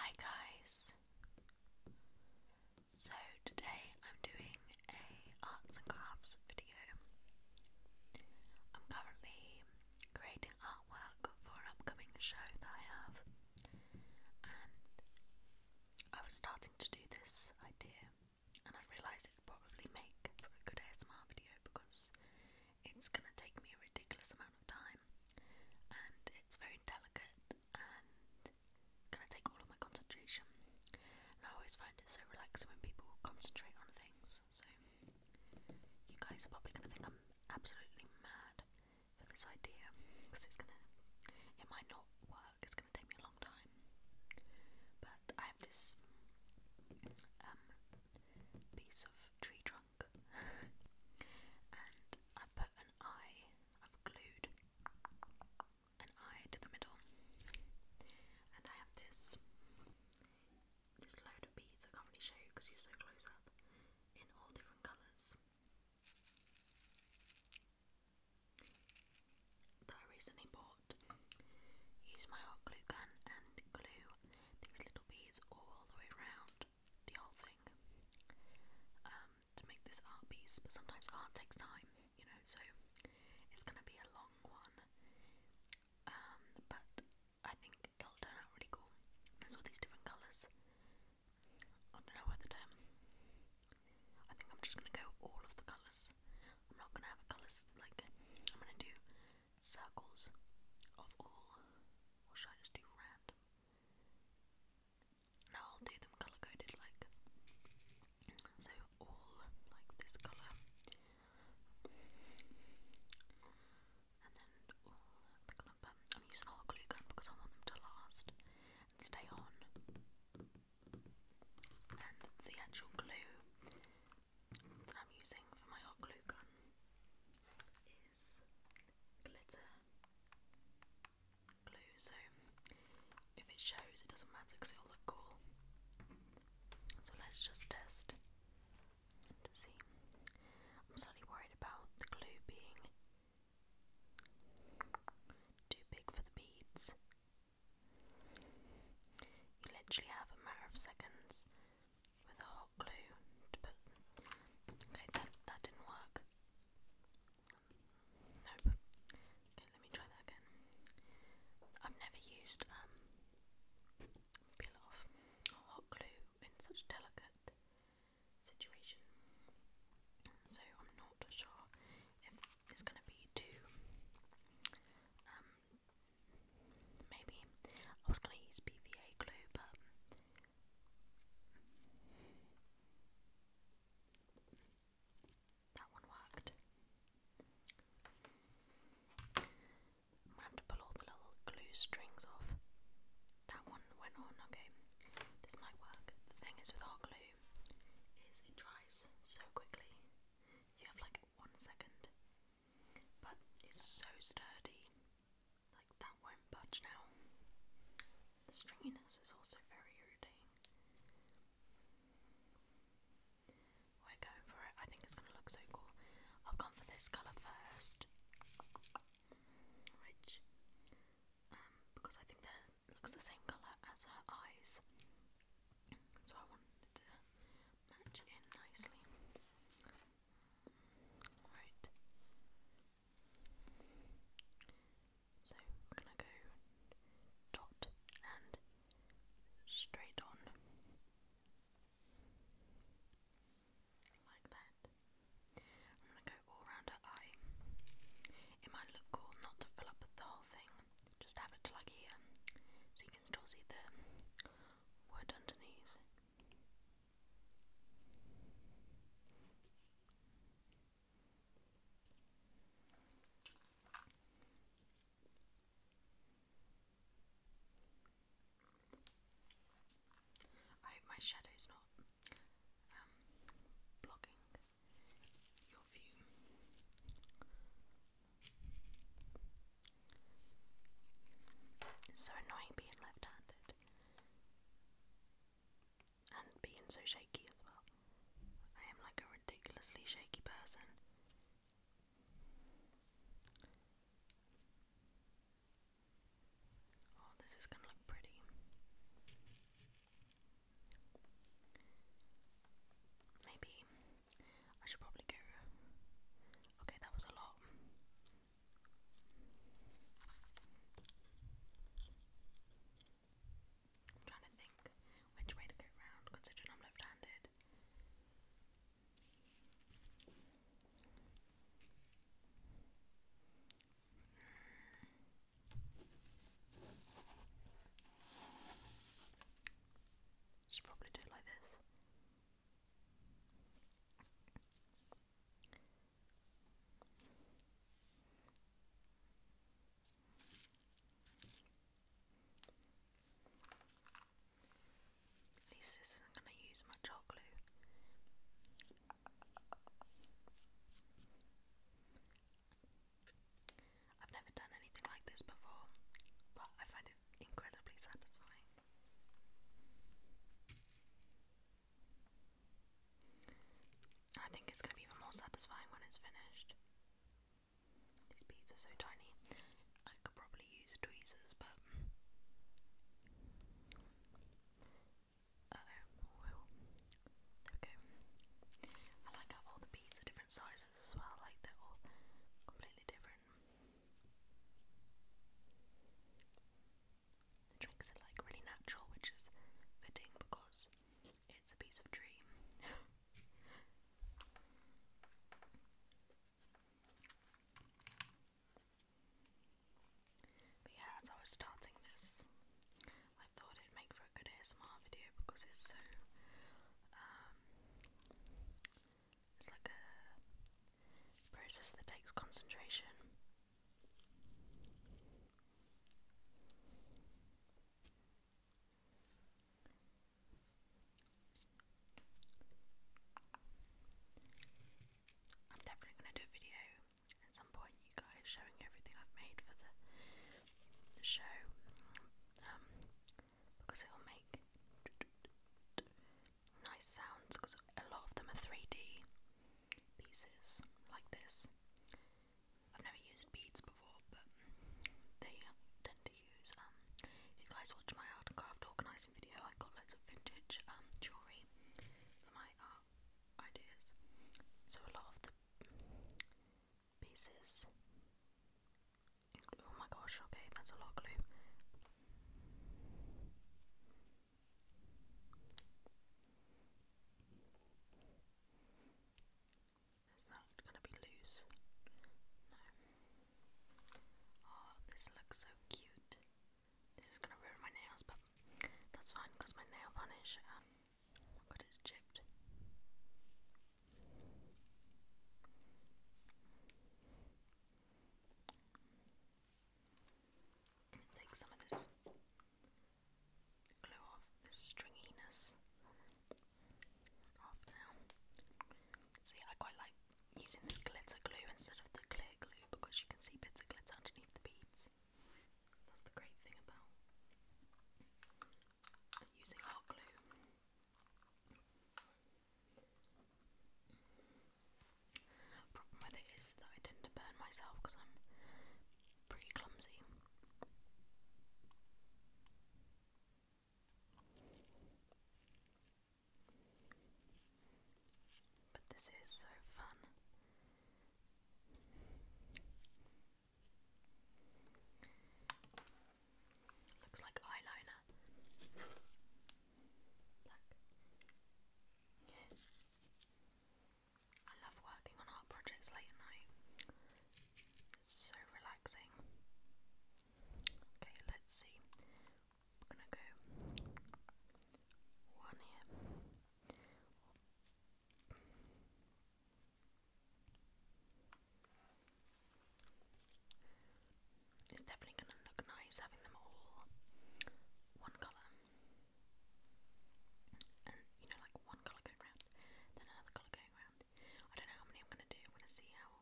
Hi guys! So today I'm doing a arts and crafts video. I'm currently creating artwork for an upcoming show that I have and I was starting to do this idea and I realised it would probably make for a good ASMR video because it's going to take me a ridiculous amount time, and it's very delicate and gonna take all of my concentration. I always find it so relaxing when people concentrate on things. So you guys are probably gonna think I'm absolutely mad for this idea because it's gonna, it might not work. It's gonna take me a long time. But I have this um, piece of tree trunk and I put an eye, I've glued an eye to the middle. And I have this this load of beads I can't really show you because you're so close up in all different colours. That I recently bought. Use my hot glue gun and glue these little beads all the way around out the whole thing um, to make this art piece, but sometimes art takes time, you know, so it's gonna be a long one. Um, but I think it'll turn out really cool. There's all these different colours. I don't know whether to. I think I'm just gonna go all of the colours. I'm not gonna have a colours like I'm gonna do circles of all, or should I just do random? Now I'll do them colour coded like so all like this colour and then all the clump. I'm using hot glue gun because I want them to last and stay on. And the actual glue that I'm using for my hot glue gun glitter glue, so if it shows, it doesn't matter because it'll look cool. So let's just test to see. I'm slightly worried about the glue being too big for the beads. You literally have a matter of seconds with a got glue to put. Okay, that that didn't work. Nope. Okay, let me try that again. I've never used um peel off hot glue in such delicate situation, so I'm not sure if it's going to be too. Um, maybe I was going to use BVA glue, but that one worked. I'm gonna have to pull all the little glue strings off. That one went on, okay. This might work. The thing is with hot glue is it dries so quickly. You have like one second. But it's so sturdy like that won't budge now. The stringiness is also very irritating. We're going for it. I think it's gonna look so cool. I've gone for this colour first. Which um, because I think it looks the same colour as her eyes. So I wanted to match in nicely. Right. So we're gonna go dot and straight on like that. I'm gonna go all round her eye. It might look cool not to fill up the whole thing, just have it like here, so you can still see the wood underneath. I hope my shadow's not um, blocking your view. It's so annoying being left handed. And being so shaky as well. I am like a ridiculously shaky person. Oh, this is going to look pretty. Maybe I should probably go. Okay, that was a lot. I'm trying to think which way to go round considering I'm left handed. Should probably do it like this. At least this isn't going to use much hot glue. I've never done anything like this before, but I find it incredibly satisfying. I think it's going to be even more satisfying when it's finished. These beads are so tiny. I could probably use tweezers, but. oh. there we go. I like how all the beads are different sizes as well, like they're all completely different drinks are like really natural, which is fitting because it's a piece of dream. but yeah, as I was starting this, I thought it'd make for a good ASMR video because it's so um, it's like a Process that takes concentration. I'm definitely going to do a video at some point, you guys, showing everything I've made for the show, um, because it'll make nice sounds because a lot of them are 3D pieces like this. I've never used beads before, but they tend to use. Um, if you guys watch my art and craft organising video, I got lots of vintage um, jewellery for my art ideas. So a lot of the pieces. Oh my gosh, okay, that's a lot of glue. Is that gonna be loose? No. Oh, this looks so cute. This is gonna ruin my nails, but that's fine because my nail varnish, um, god, it's chipped take some of this glue off, this stringiness off now. See, I quite like using this glitter glue instead of the clear glue because you can see bits of glitter underneath the beads. That's the great thing about using hot glue. Problem with it is that I tend to burn myself because I'm pretty clumsy. But this is so fun. Looks like eyeliner. Look. I love working on art projects late at night. It's so relaxing. Okay, let's see. I'm gonna go one here. It's definitely gonna look nice having them all one colour and you know, like one colour going round, then another colour going round. I don't know how many I'm gonna do. I'm to see how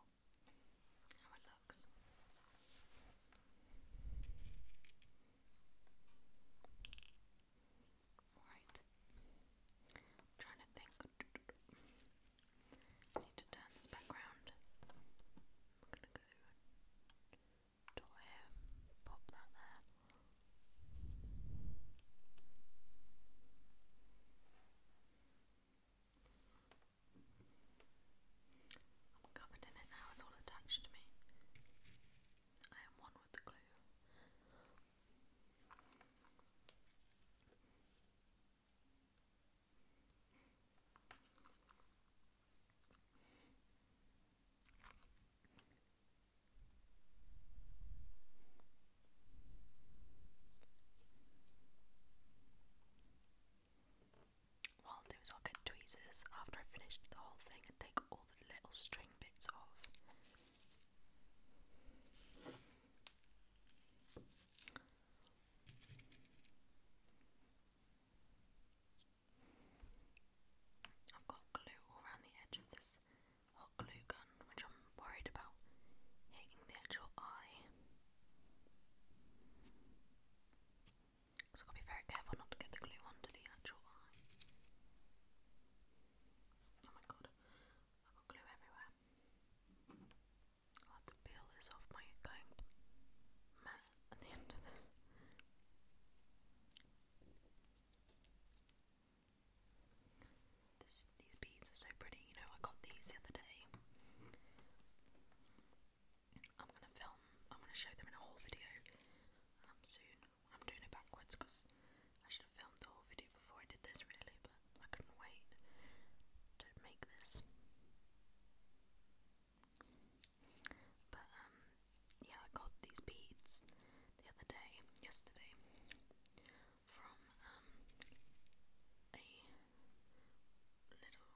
how it looks. Alright. Trying to think. need to turn this back pop that there. I'm covered in it now, it's all attached to me. I am one with the glue. What I'll do is I'll get tweezers after I finish the whole thing and take all the little string bits off. I've got glue all around the edge of this hot glue gun, which I'm worried about hitting the actual eye. So I've got to be very careful not to get the glue onto the actual eye. Oh my god, I've got glue everywhere. i have to peel this off by going at the end of this. these beads are so pretty, you know, I got these the other day. I'm gonna film, I'm gonna show them in a whole video um, soon. I'm doing it backwards because I should have filmed the whole video before I did this, really, but I couldn't wait to make this. But um, yeah, I got these beads the other day, yesterday, from um, a little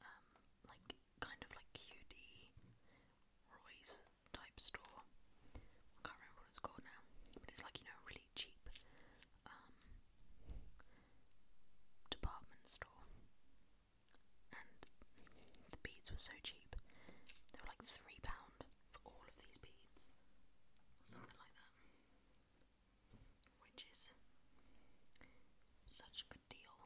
um, like kind of like QD Roy's type store. I can't remember what it's called now, but it's like you know really cheap department store and the beads were so cheap. They were like three pound for all of these beads, or something like that, which is such a good deal.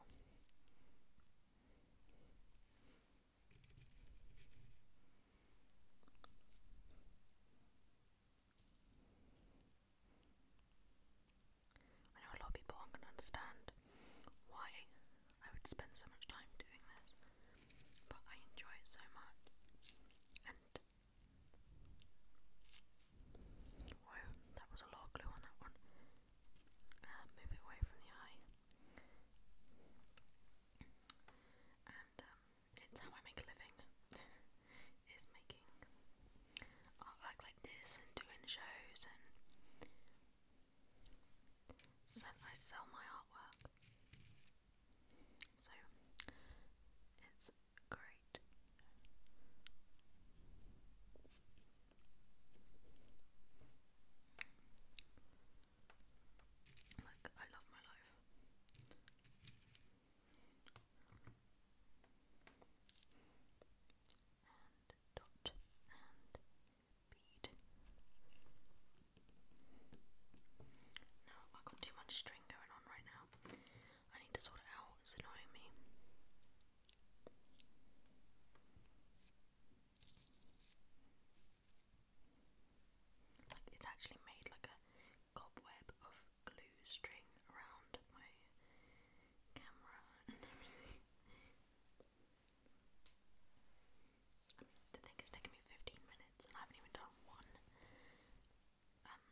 I know a lot of people aren't going to understand why I would spend so much time doing this, but I enjoy it so much. And whoa, that was a lot of glue on that one. Uh, away from the eye. And um, it's how I make a living. is making artwork like this and doing shows and I sell my artwork. So it's great. Like I love my life. No, I've got too much string going on right now. I need to sort it out, it's annoying me. Like it's actually made like a cobweb of glue string around my camera and I think it's taken me 15 minutes and I haven't even done one um,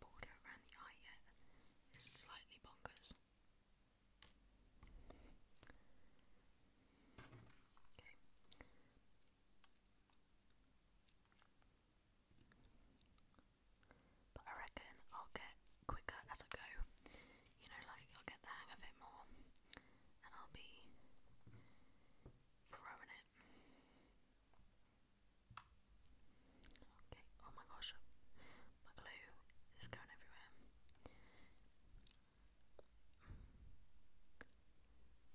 border around the eye yet. It's slightly bonkers. But I reckon I'll get quicker as I go. You know, like I'll get the hang of it more and I'll be growing it. Okay, oh my gosh, my glue is going everywhere.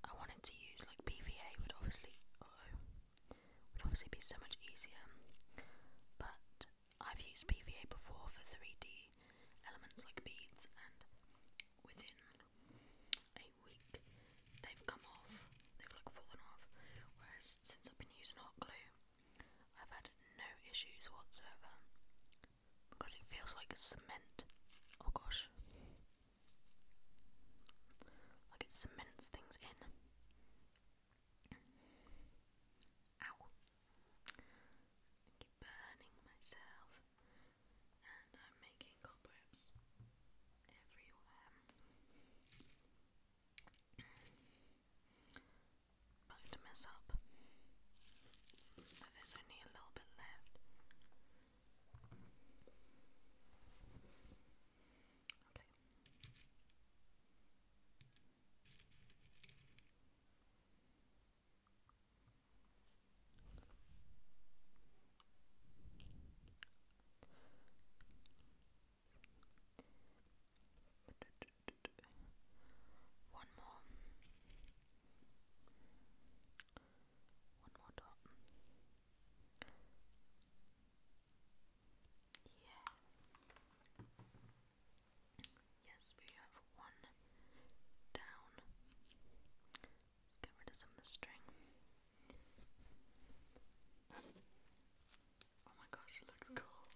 I wanted to use like PVA, would obviously, would obviously be so much easier, but I've used PVA before for 3D elements like beads, and within a week they've come off, they've like fallen off. Whereas since I've been using hot glue, I've had no issues whatsoever because it feels like cement. Oh gosh, like it cements things in. I keep burning myself, and I'm making cobwebs everywhere. Back to mess up. But there's only a little bit left. Okay. One more. One more dot. Yeah. Yes, we have one down. Let's get rid of some of the string. Oh my gosh, it looks cool.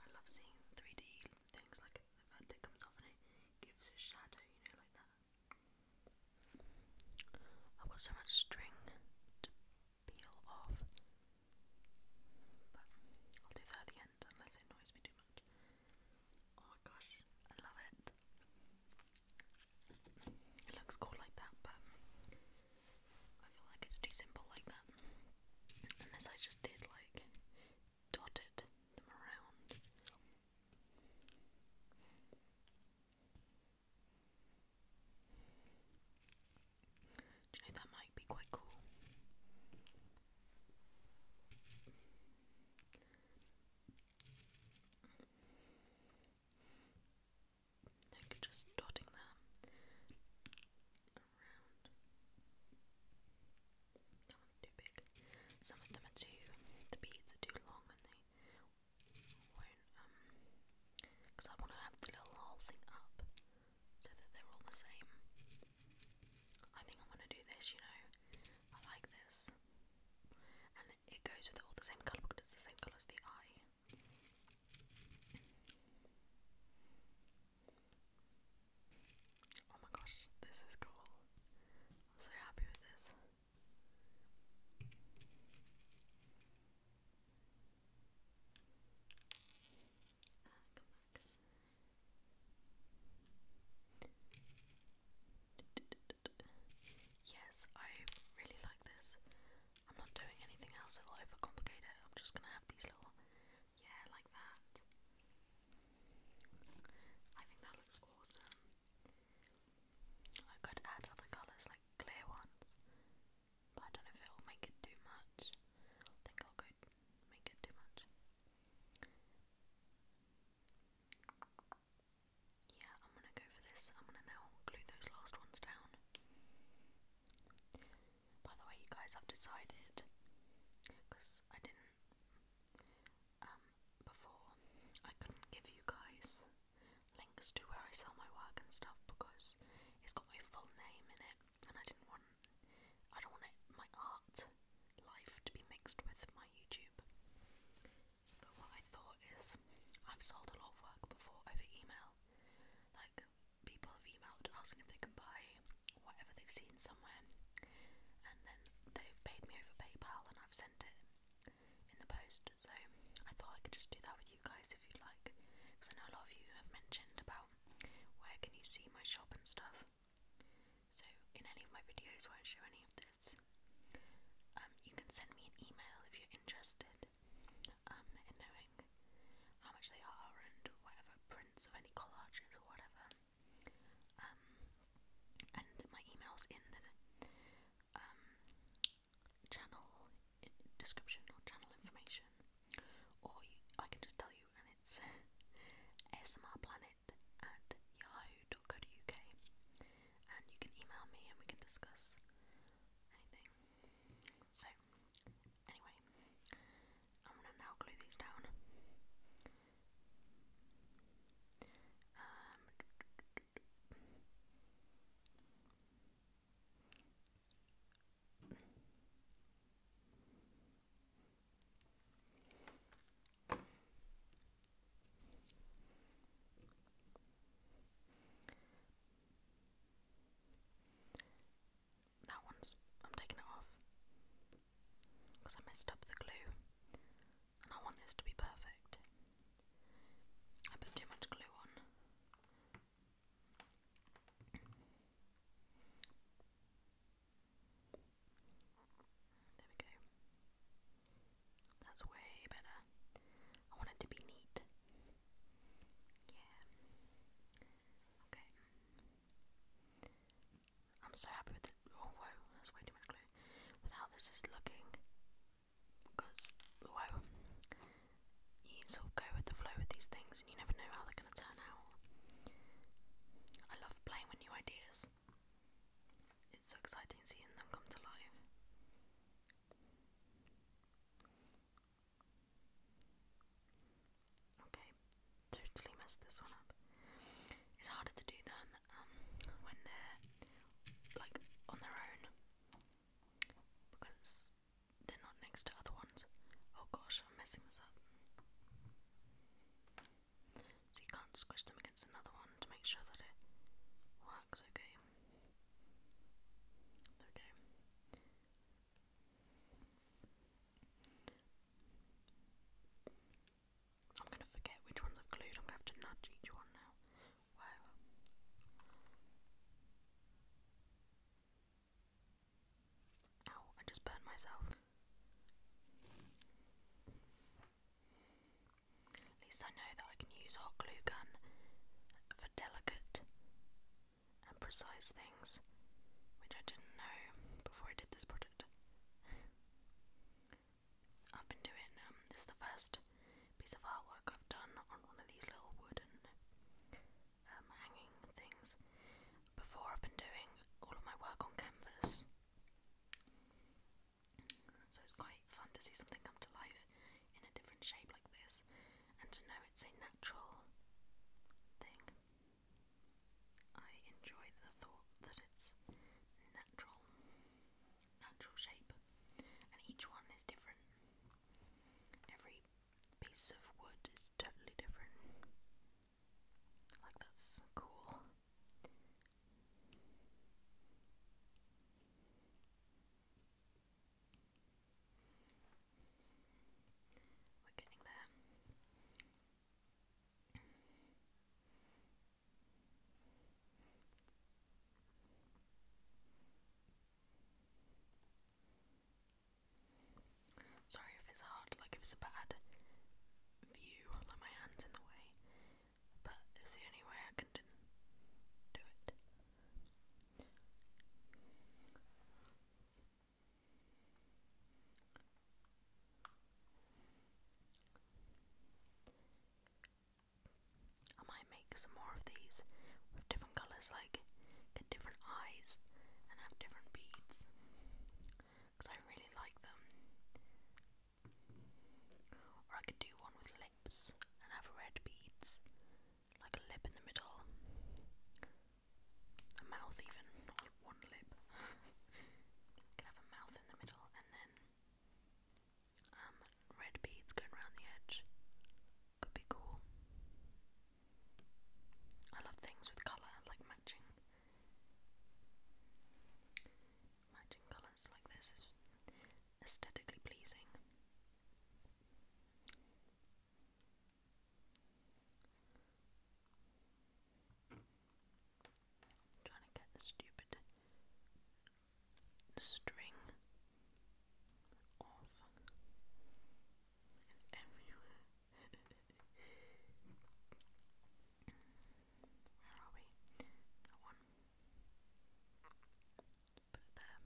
I love seeing 3D things like the vertex comes off and it gives a shadow, you know, like that. I've got so much string peel off. I'll do that at the end unless it annoys me too much. Oh my gosh, I love it. It looks cool like that, but I feel like it's too simple like that. Unless I just did like dotted them around. Do you know that might be quite cool? Like just dotting them around. That one's too big. Some of them are too, the beads are too long and they won't, um, because I want to have the little whole thing up so that they're all the same. I think I'm gonna do this, you know. I like this. And it goes with all the same colour because it's the same colour as the eye. Oh my gosh, this is cool. I'm so happy with this. Yes, I really like this. I'm not doing anything else that will overcomplicate it. I'm just gonna have these little, yeah, like that. I think that looks awesome. I could add other colours like clear ones, I don't know if it'll make it too much. I think I'll go make it too much. Yeah, I'm gonna go for this. I'm gonna now glue those last ones down. By the way, you guys, have decided because I didn't um, before I couldn't give you guys links to where I sell my work and stuff because it's got my full name in it and I didn't want, I don't want my art life to be mixed with my YouTube. But what I thought is, I've sold a lot of work before over email. Like, people have emailed asking if they can buy whatever they've seen somewhere, and then they've paid me over PayPal and I've sent it in the post. So I thought I could just do that with you guys if you like, because I know a lot of you have mentioned about where can you see my shop and stuff. So in any of my videos where I show any of this, um, you can send me an email if you're interested um, in knowing how much they are and whatever prints of any collages or whatever. Um, and my email's in the channel description or channel information, or I can just tell you, and it's smrplanet at yahoo.co.uk, and you can email me and we can discuss anything. So, anyway, I'm gonna now glue these down. Um, that one's. I'm taking it off. Because I messed up the glue. And I want this to be perfect. I put too much glue on. There we go. That's way better. I want it to be neat. Yeah. Okay. I'm so happy with it. Oh, whoa, that's way too much glue. With how this is looking. Because, whoa you sort of go with the flow with these things and you never know how they're going to turn out. I love playing with new ideas, it's so exciting seeing them come to life. Okay, totally messed this one up. It's harder to do them um, when they're like on their own because they're not next to other ones. Oh gosh, I'm messing this up. So you can't squish them against another one to make sure that it works okay. Okay. I'm gonna forget which ones I've glued, I'm gonna have to nudge each one now. Wow. Ow, I just burned myself. At least I know that I can use hot glue gun for delicate and precise things, which I didn't know before I did this project. I've been doing, um, this is the first piece of artwork I've done on one of these little wooden um, hanging things. Before I've been doing all of my work on canvas, so it's quite fun to see something come to life in a different shape like this, and to know it's a natural thing. I enjoy the thought that it's natural, natural shape, and each one is different. Every piece of wood is totally different. Like, that's cool. We're getting there. Sorry if it's hard, like if it's a bad view, like my hand's in the way, but it's the only way I can do it. I might make some more of these with different colours, like different eyes and have different beads because I really like them. Or I could do one with lips and have red beads, like a lip in the middle, a mouth even, one lip. could have a mouth in the middle and then um, red beads going around the edge could be cool. I love things with colour, like matching. Matching colours like this is aesthetically pleasing. trying to get the stupid string off and everywhere. Where are we? That one. Put it there. Right.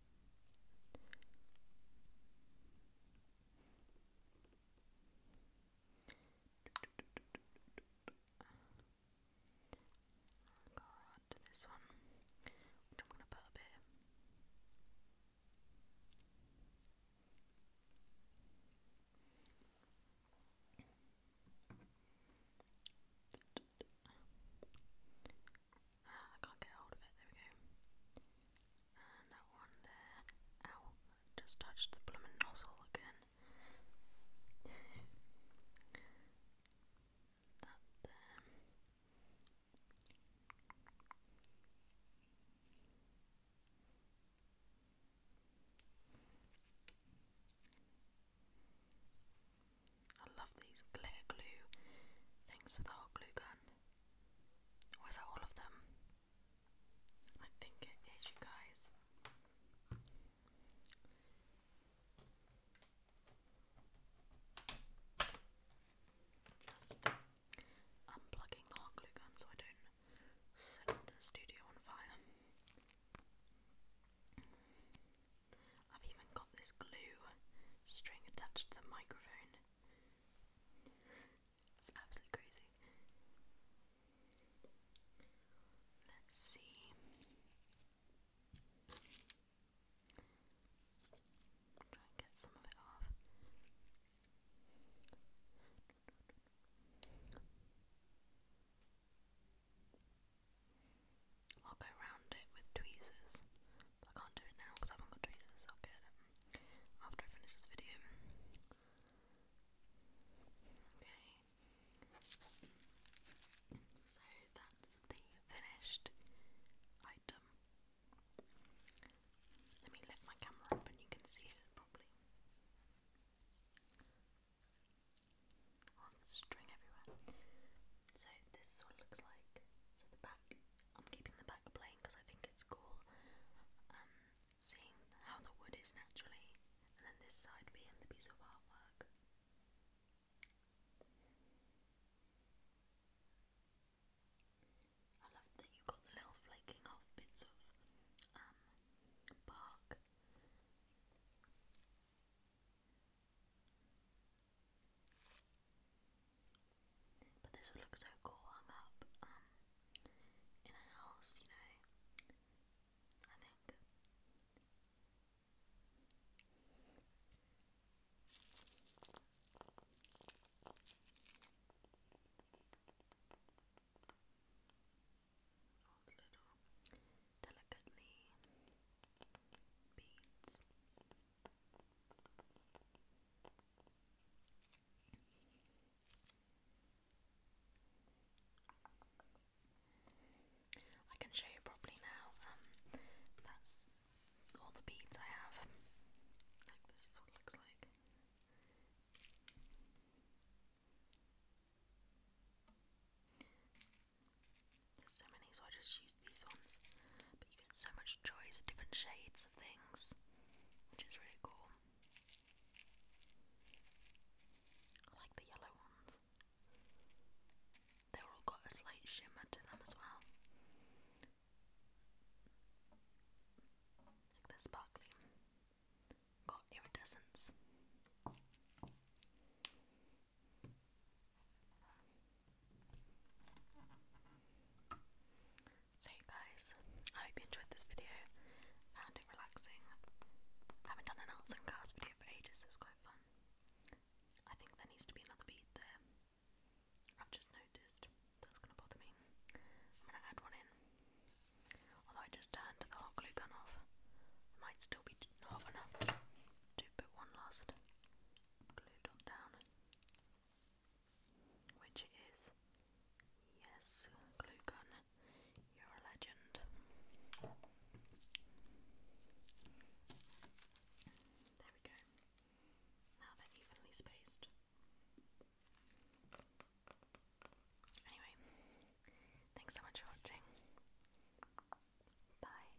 I'll go around to this one, which I'm going to put up here. Uh, I can't get hold of it. There we go. And that one there. Ow! Just touched the blooming nozzle again. that there. I love these clear glue things for the hot glue gun. Or that all of them? I think it is, you guys. Just unplugging the hot glue gun so I don't set the studio on fire. I've even got this glue string attached to the microphone. It's absolutely crazy. Let's see. Try and get some of it off. I'll go round it with tweezers. But I can't do it now because I haven't got tweezers. I'll get them um, after I finish this video. Okay. So that's the finished item. Let me lift my camera up and you can see it properly. Oh, string everywhere. So this is what it looks like. So the back I'm keeping the back plain because I think it's cool. Um, seeing how the wood is naturally, and then this side being the piece of artwork. I love that you got the little flaking off bits of um, bark. But this would look so cool hung up um, in a house, you know. I think. delicately beads. I can show you properly now. Um, that's all the beads I have. Like this is what it looks like. There's so many, so I just use these ones. But you get so much choice, different shades of things, which is really cool. I like the yellow ones. they all got a slight shimmer to them as well. Like they're Got iridescence. So guys, I hope you enjoyed this video, found it relaxing. haven't done an arts and crafts video for ages, it's quite fun. I think there needs to be another bead there. i just noticed, that's gonna bother me. I'm gonna add one in. Although I just turned the hot glue gun off, might still be hot enough to put one last glue dot down. Which is yes, glue gun, you're a legend. There we go. Now they're evenly spaced. Anyway, thanks so much for watching. Bye.